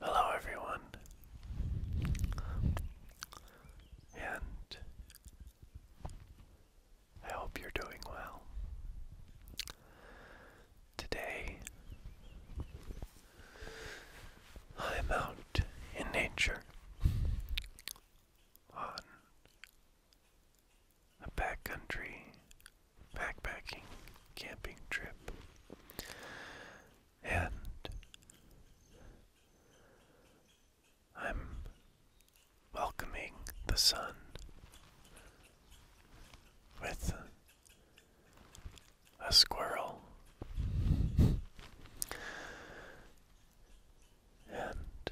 Hello, everyone, and I hope you're doing well. Today, I am out in nature on a backcountry backpacking camping trip and I'm welcoming the sun with a squirrel. And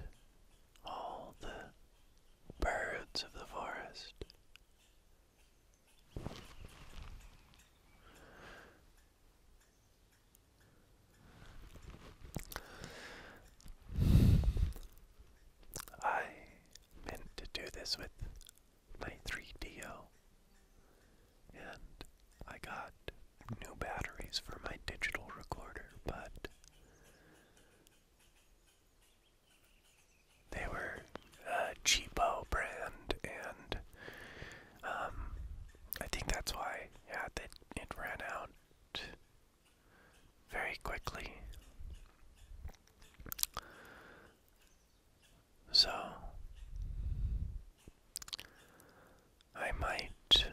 all the birds of the forest. I meant to do this with my 3DO. And I got new batteries for my digital recorder, but they were a cheapo brand, and um, I think that's why, yeah, that it ran out very quickly. So, I might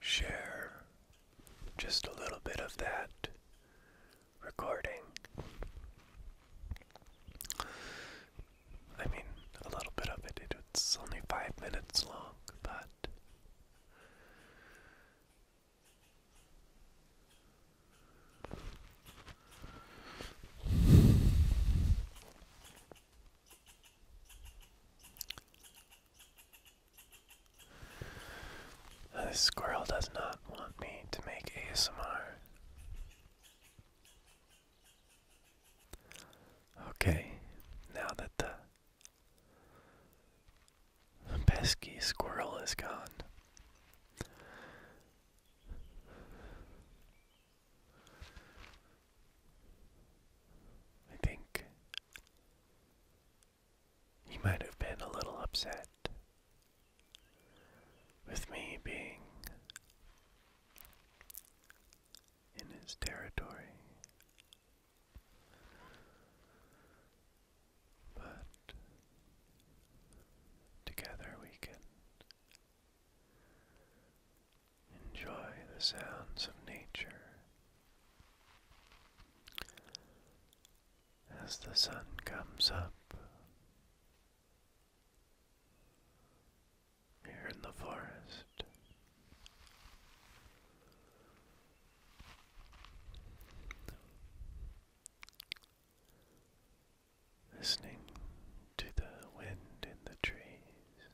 share just a little bit of that recording. I mean, a little bit of it, it's only five minutes long, but this squirrel does not want me to make ASMR. Okay, now that the the pesky squirrel is gone. I think he might have been a little upset with me being in his territory. But together we can enjoy the sounds of nature as the sun comes up. Here in the forest, Listening to the wind in the trees.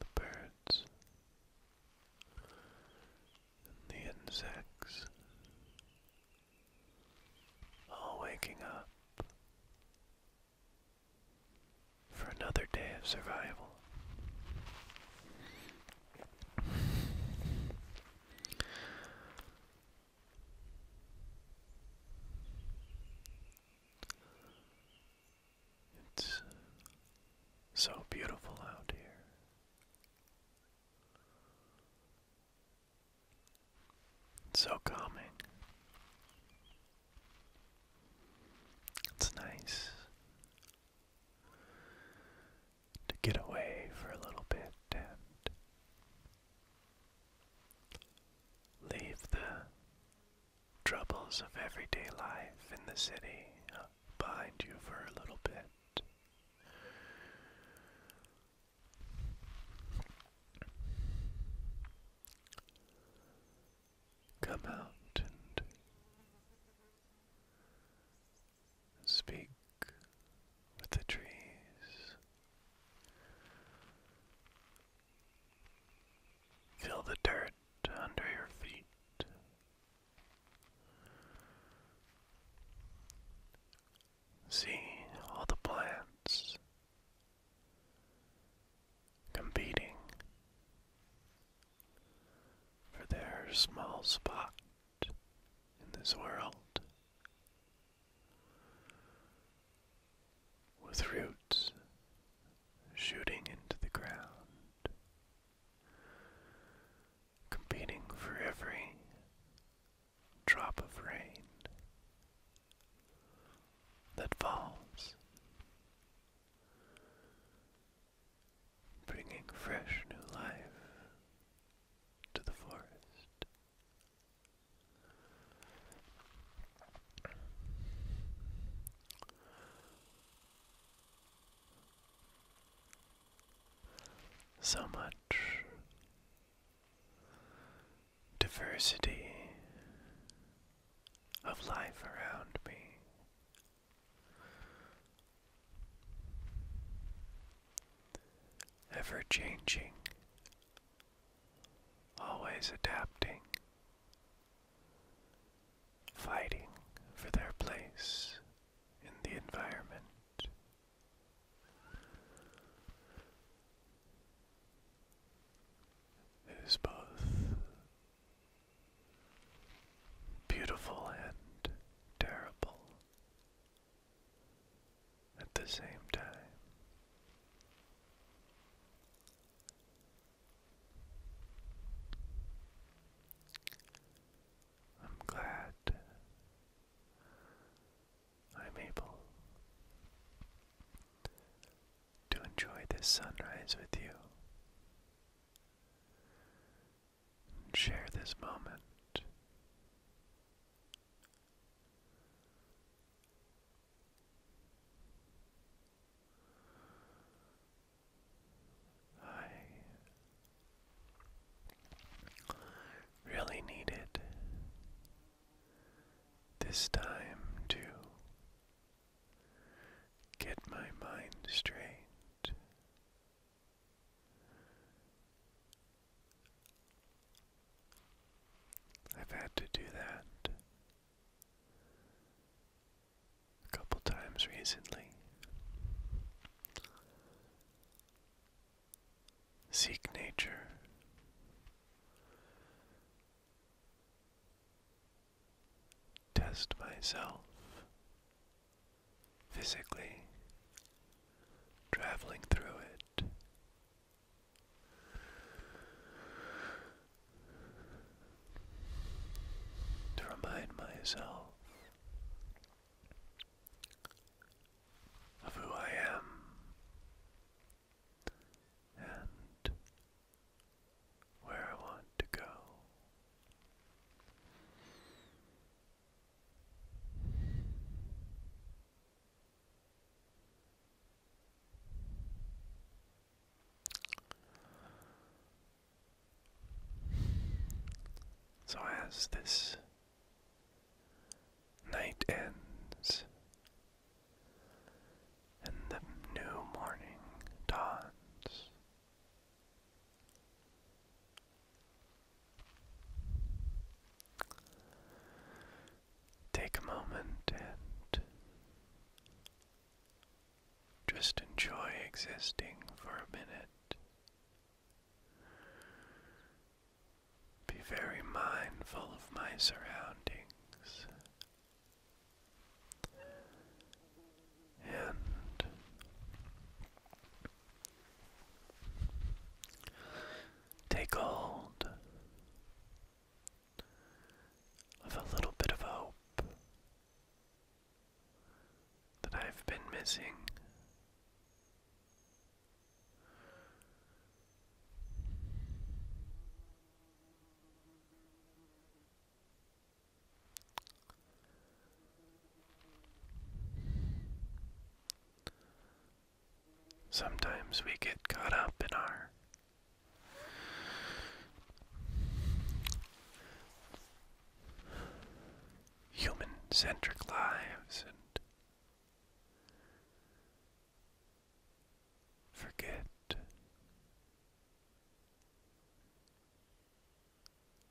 The birds and the insects all waking up for another day of survival. It's so beautiful out here. So calming. It's nice to get away for a little bit and leave the troubles of everyday life in the city behind you for a little bit. Come out and speak with the trees. Feel the dirt under your feet. See all the plants competing for their small spot in this world with roots shooting into the ground, competing for every drop of rain that falls, bringing fresh new life to the forest. So much diversity of life around me. Ever changing, always adapting, fighting for their place in the environment. It is both beautiful and terrible at the same time. I'm glad I'm able to enjoy this sunrise with you and share this moment. I really needed this time to get my mind straight. I've had to do that a couple times recently. Seek nature test myself physically traveling through it. To remind myself of who I am and where I want to go. So, as this night ends, and the new morning dawns. Take a moment and just enjoy existing for a minute. Be very mindful of my surroundings and take hold of a little bit of hope that I've been missing. Sometimes we get caught up in our human centric lives and forget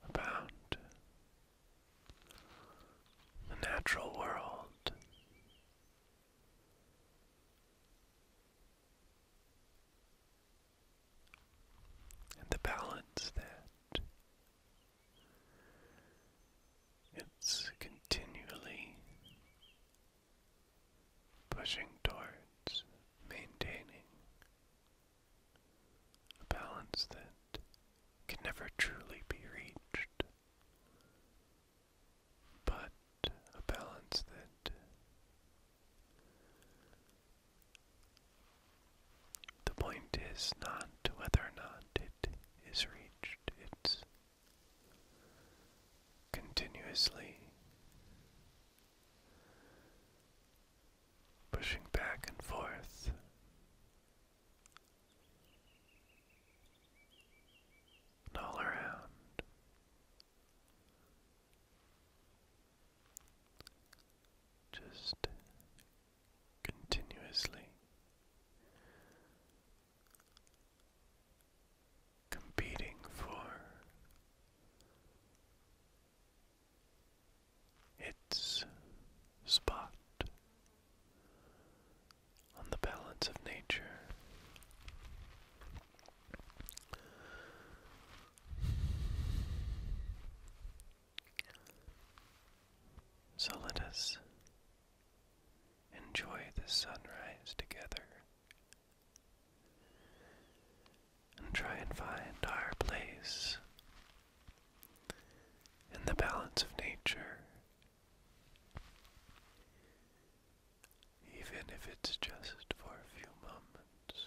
about the natural world. And the balance that it's continually pushing towards maintaining a balance that can never truly be reached, but a balance that the point is not whether or not it is reached, it's continuously pushing back and forth. And all around, just continuously competing for its spot on the balance of nature. So let us enjoy the sunrise together. And try and find our place in the balance of nature, even if it's just for a few moments.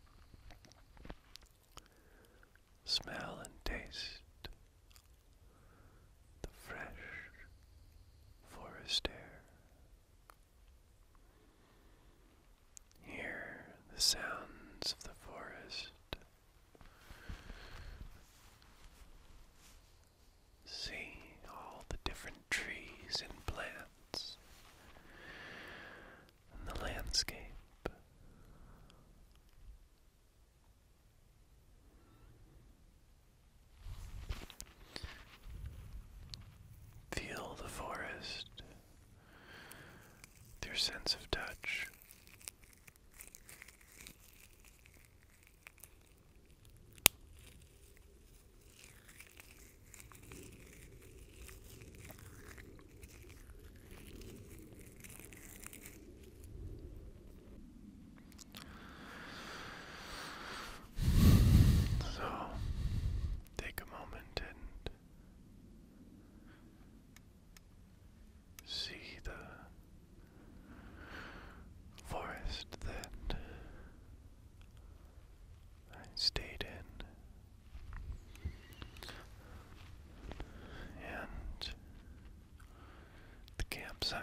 Smell and taste the fresh forest air. Hear the sounds of the forest. See all the different trees and plants and the landscape. Feel the forest, your sense of touch. So, take a moment and see the forest that I stayed in and the campsite.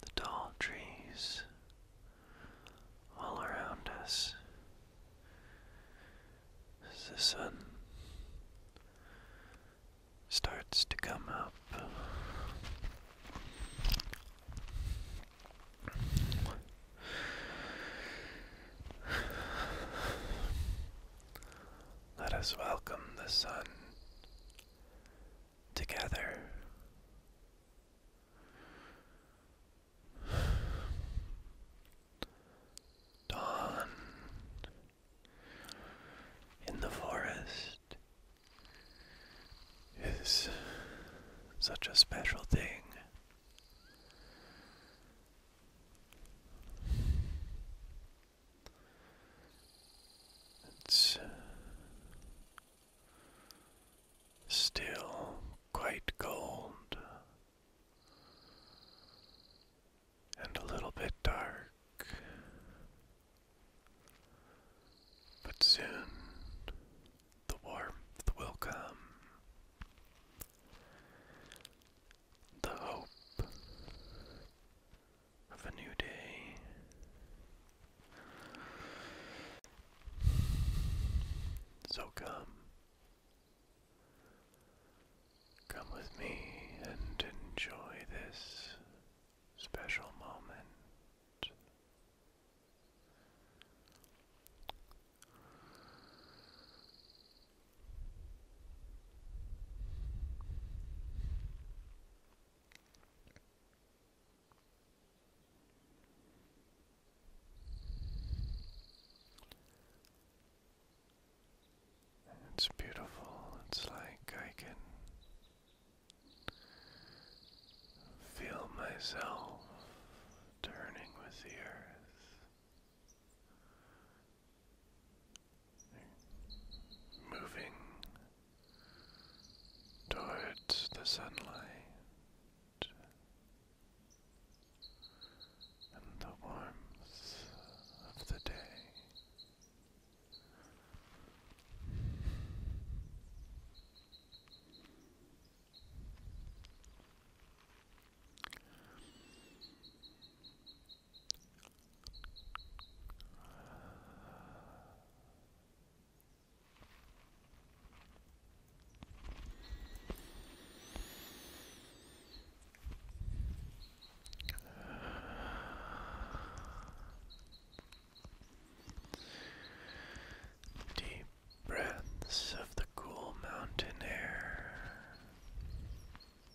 The tall trees all around us as the sun starts to come up. Let us welcome the sun together. Dawn in the forest is such a special thing. It's uh, still quite cold and a little bit dark, but soon the warmth will come the hope of a new day. So come, come with me and enjoy this special moment. It's beautiful. It's like I can feel myself turning with the earth moving towards the sunlight and the warmth of the day. Deep breaths of the cool mountain air.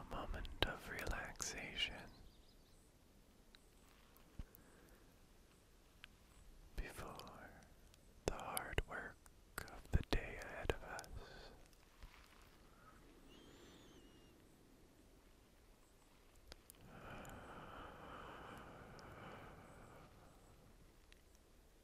A moment of relaxation before the hard work of the day ahead of us.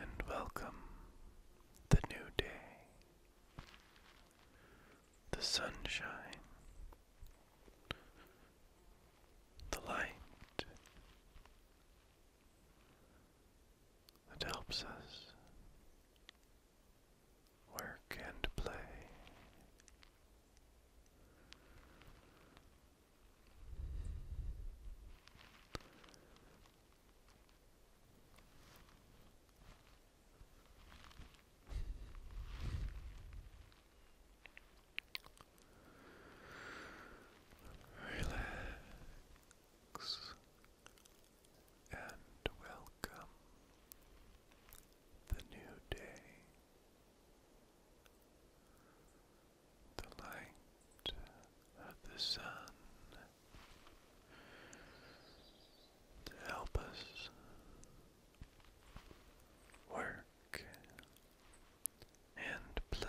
and welcome the new day. The sunshine, the light that helps us work and play. Relax and welcome the new day. The light of the sun to help us work and play.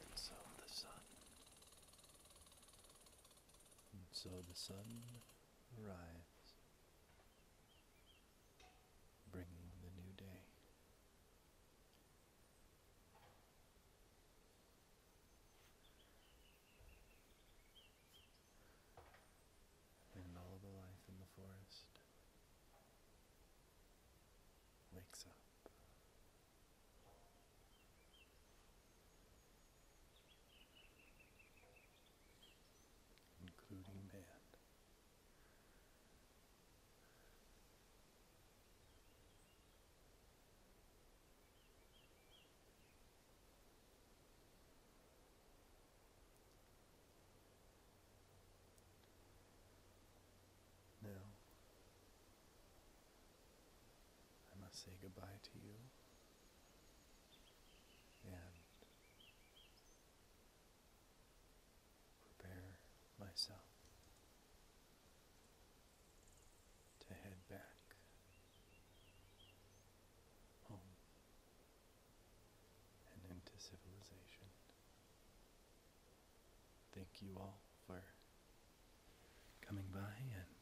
And so the sun. And so the sun arrives, bringing the new day. And all the life in the forest wakes up. Including man. Now, I must say goodbye to you and prepare myself to head back home and into civilization. Thank you all for coming by and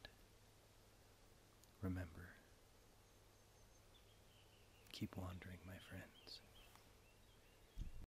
remember keep wandering my friends